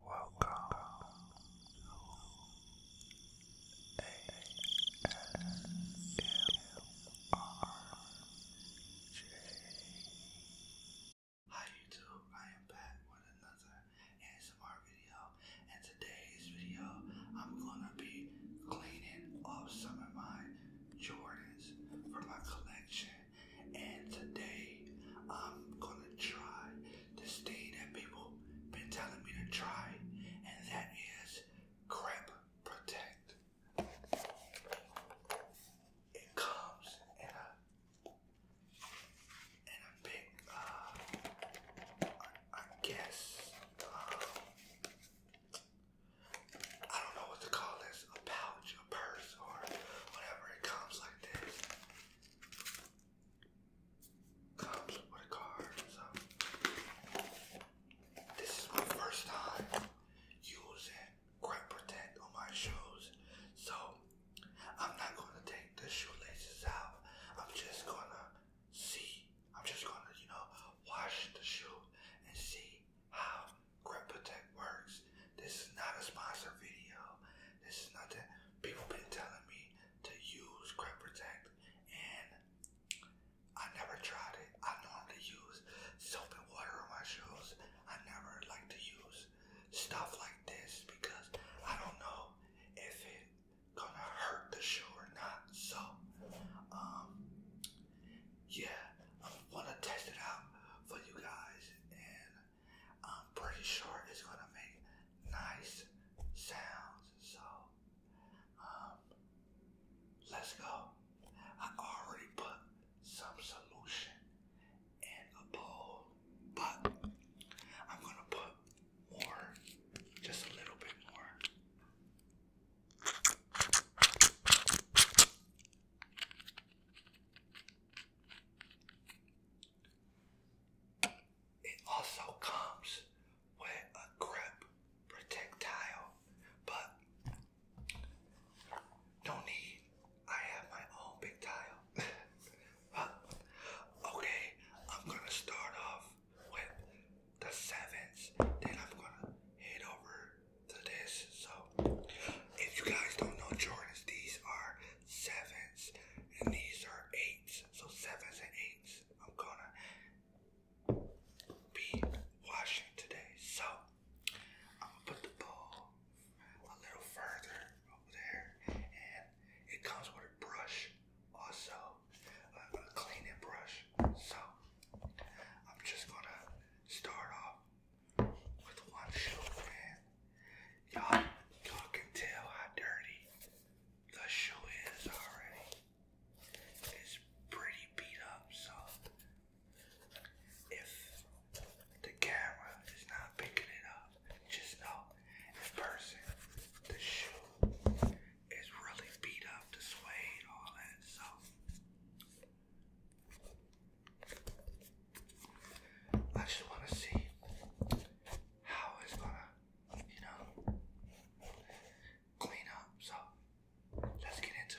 Welcome Hi YouTube, I am back with another ASMR video, and today's video I'm gonna be cleaning up some of my Jordans from my collection, and today I'm gonna try this thing that people been telling me to try, and that is Crep Protect. It comes in a in a big, uh, I, guess, um, I don't know what to call this, a pouch, a purse, or whatever. It comes like this comes with a card. So this is my first time using Grip Protect on my shoes. So I'm not gonna take the shoelaces out. I'm just gonna see. I'm just gonna, you know, wash the shoe and see how Grip Protect works. This is not a sponsored video. This is nothing people been telling me to use Crep Protect and I never tried it. I normally use soap and water on my shoes. I never like to use stuff like this because I don't know if it gonna hurt the shoe or not. So um yeah, I wanna test it out for you guys and I'm pretty sure it's gonna make nice sounds. So, um, let's go. I already put some solution in a bowl, but I'm gonna put more, just a little bit more. It also comes with a grip projectile, but no need. I have my own big tile. okay, I'm gonna start off with the sevens, then I'm gonna head over to this. So, if you guys don't know Jordans, these are sevens, and these are eights. So sevens and eights. I'm gonna be washing today. So I'm gonna put the bowl a little further over there, and it comes with a brush, also a, a cleaning brush. So I'm just gonna start off with one shoe and Y'all, y'all can tell how dirty the shoe is already. It's pretty beat up, so if the camera is not picking it up, just know in person the shoe is really beat up, the suede, all that, so. I just want to see how it's gonna, you know, clean up. So let's get into it.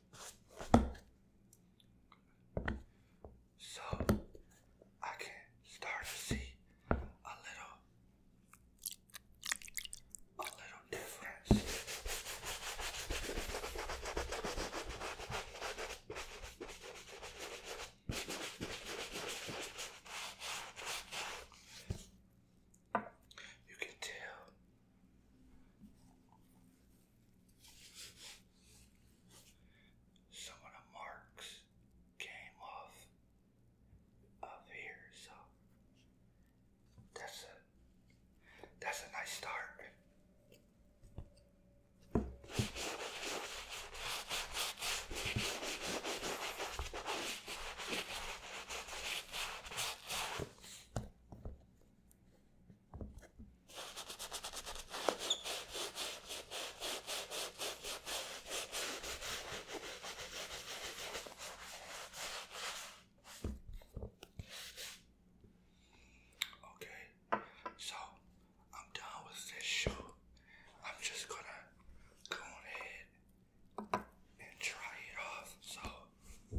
So I can start to see a little a little difference. You can tell some of the marks came off of here, so that's a that's a nice start. Okay, so I'm done with this shoe. I'm just gonna go ahead and try it off. So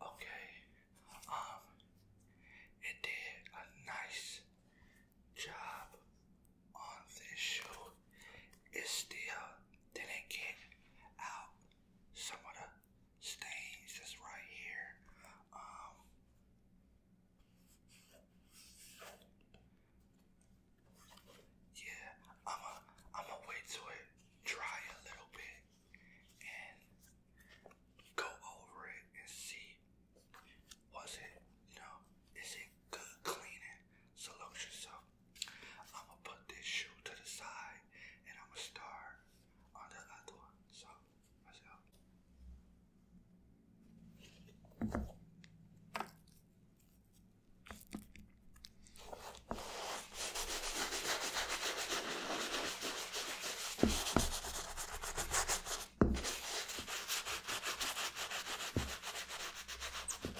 Okay, um, it did a nice job on this shoe it still didn't get out some of the stains that's right here. Um, yeah, I'm gonna I'm a wait till it dry a little bit and go over it and see was it, you know, is it good cleaning solution? So I'm gonna put this shoe to the side and I'm gonna start on the other one. So let's go.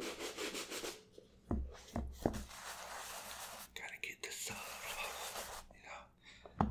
Gotta get the sun off, you know.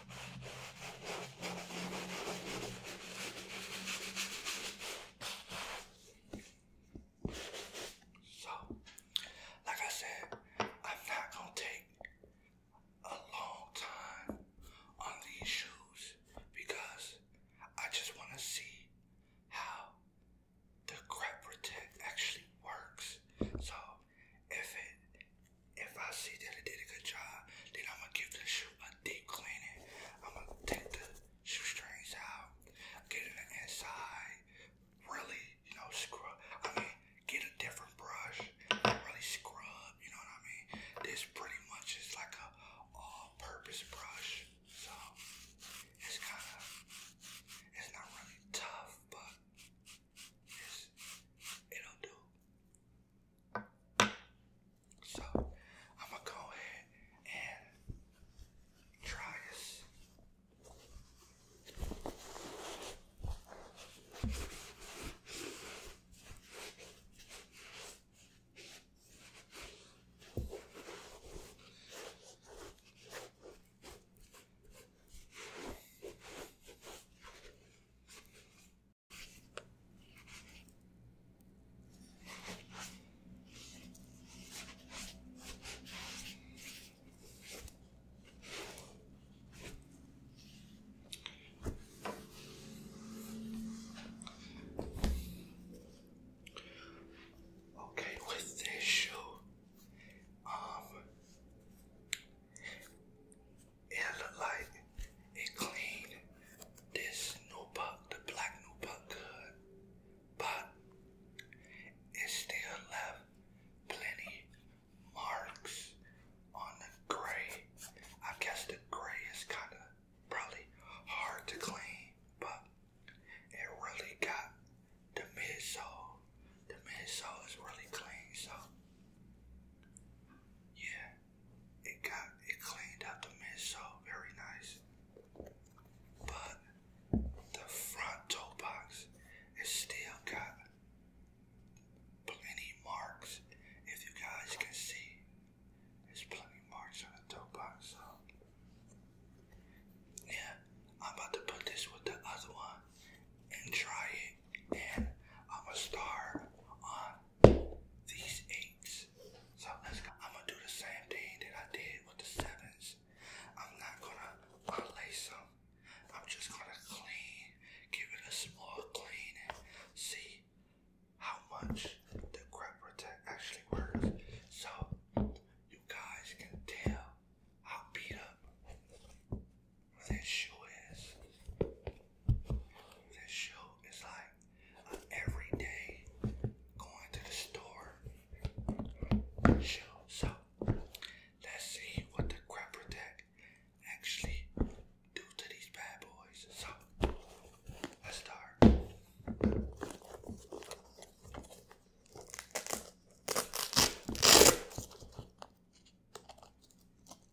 So, like I said, I'm not gonna take a long time on these shoes because I just want to see how the grip protect actually works. So, if it if I see that it did a good job, then I'm gonna give the shoe a deep cleaning. I'm gonna take the shoe strings out, get in the inside, really, you know, scrub. I mean, get a different brush, really scrub. You know what I mean? This pretty much is like a all-purpose brush, so it's kind of it's not really tough, but it'll do. So I'm gonna go ahead and try this. Okay, with this shoe, um, it looked like it cleaned this notebook, the black notebook good, but it still left plenty marks on the gray. I guess the gray is kind of probably hard to clean, but it really got the midsole. The midsole is really clean, so yeah it got it cleaned up the mess so very nice. But the front toe box is still got plenty marks. If you guys can see, there's plenty marks on the toe box. So yeah, I'm about to put this with the other one and try it, and I'm gonna start on these eights. So I'm gonna do the same thing that I did with the sevens. I'm not gonna unlace them. I'm just gonna clean, give it a small clean, see how much the grip protect actually works. So you guys can tell how beat up this shoe is. This show is like an everyday going to the store So let's see what the crapper deck actually do to these bad boys. So let's start.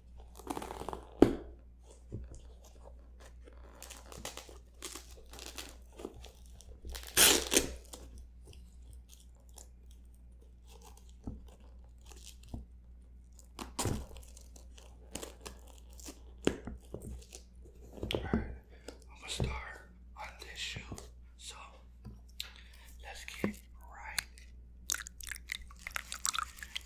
Alright, I'm gonna start on this shoe. So let's get right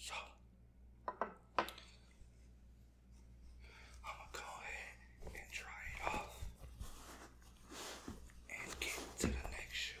So I'm gonna go ahead and dry it off and get to the next shoe.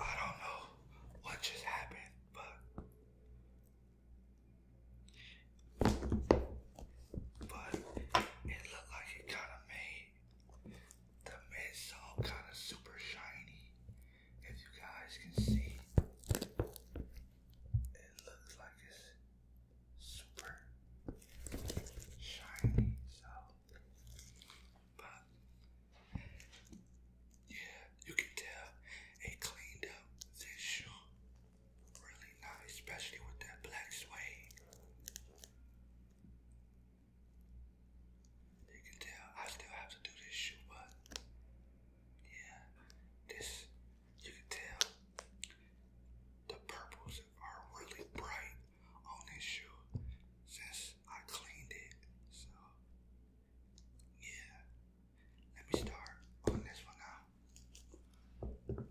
I don't know what just happened, but but it looked like it kind of made the mids all kind of super shiny. If you guys can see, it looks like it's super shiny. So, but yeah, you can tell it cleaned up this shoe Really nice, especially with that black suede. You can tell I still have to do this shoe, but yeah, this you can tell the purples are really bright on this shoe since I cleaned it. So yeah, let me start on this one now.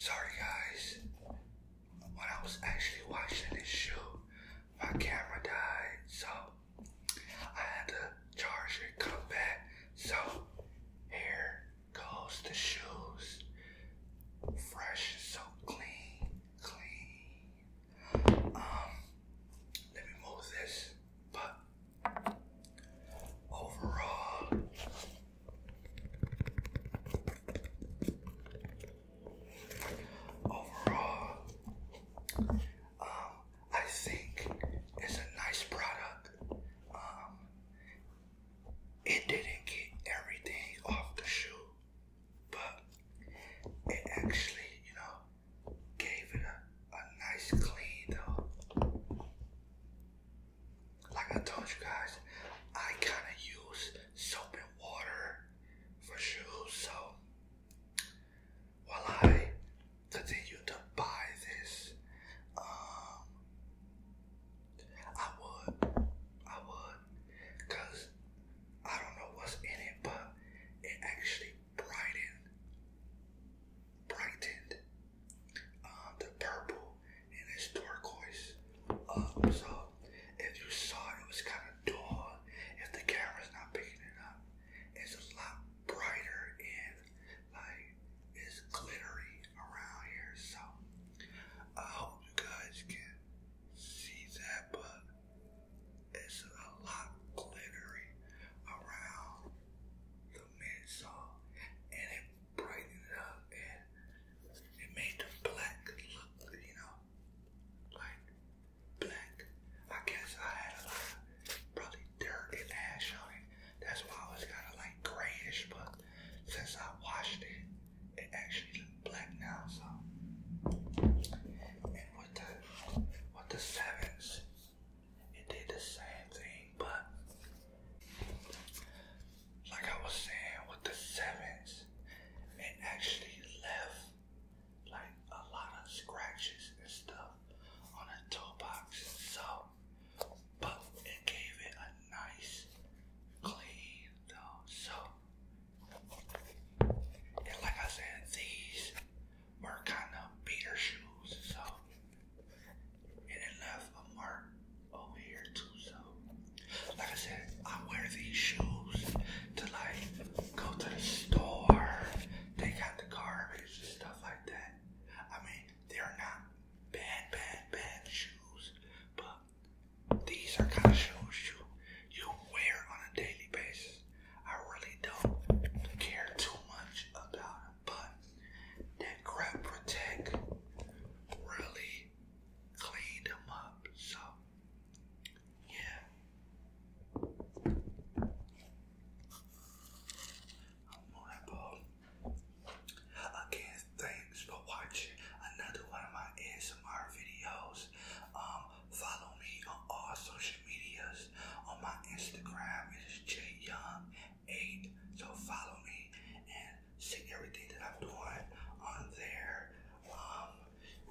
Sorry guys, when I was actually watching this shoe, my camera died, so I had to charge it, come back. So here goes the shoes. Fresh, so clean, clean. Um, let me move this. But overall, overall, um, I think it's a nice product. Um, it didn't get everything off the shoe, but it actually, you know, gave it a, a nice clean though. Like I told you guys, I kind of use soap and water for shoes, so while I continue to buy this, um, I would, I would, cause I don't know what's in it, but it actually brightened, brightened, um, the purple and it's turquoise up. Um, so if you saw it, it was kind of dull. If the camera's not picking it up, it's a lot brighter and like it's glittery around here. So I hope you guys can see that, but it's a lot glittery around the mid so and it brightened it up and it made the black look, you know, like black. I guess I had a lot of probably dirt and ash on it. That's why it was kind of like grayish, but since I washed it, it actually looked black now. So, and with the with the sevens, it did the same thing, but like I was saying, with the sevens, it actually left like a lot of scratches and stuff on the toe box and so but it gave it a nice clean though so and like I said these were kind of beater shoes so and it left a mark over here too so like I said I wear these shoes to like go to the store, they got the garbage and stuff like that. I mean, they're not bad, bad, bad shoes, but these are kind of shoes you wear on a daily basis. I really don't care too much about them, but that Crap Protect really cleaned them up. So yeah. Again, thanks for watching another one of my ASMR videos. Um, follow me on all social medias. On my Instagram, is Jay Young jyoung8. So follow me and see everything that I'm doing on there. Um,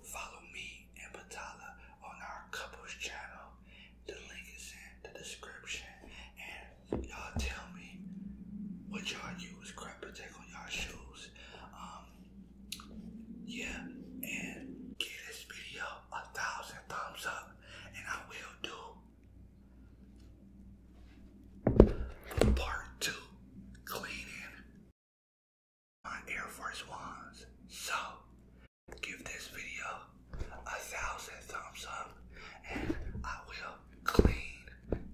follow me and Patala on our couples channel. The link is in the description. And y'all tell me what y'all use Crab take on y'all shoes. Um, yeah, and get this video a thousand thumbs up, and I will do part two cleaning my Air Force Ones. So, Give this video a thousand thumbs up and I will clean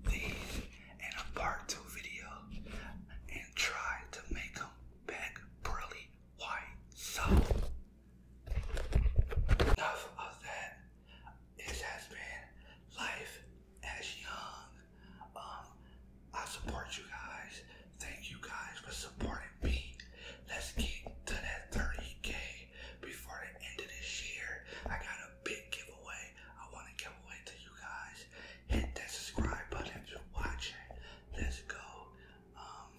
these in a part two video and try to make them back pearly white. So enough of that. It has been life as young. Um I support you guys. Thank you guys for supporting me. Let's get to that 30k before the end of this year. I got a big giveaway I want to give away to you guys. Hit that subscribe button if you're watching. Let's go. Um,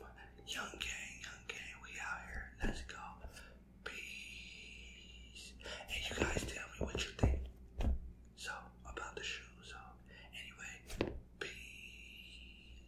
young gang, young gang, we out here. Let's go. Peace. And you guys tell me what you think. So, about the shoes. So, anyway, peace.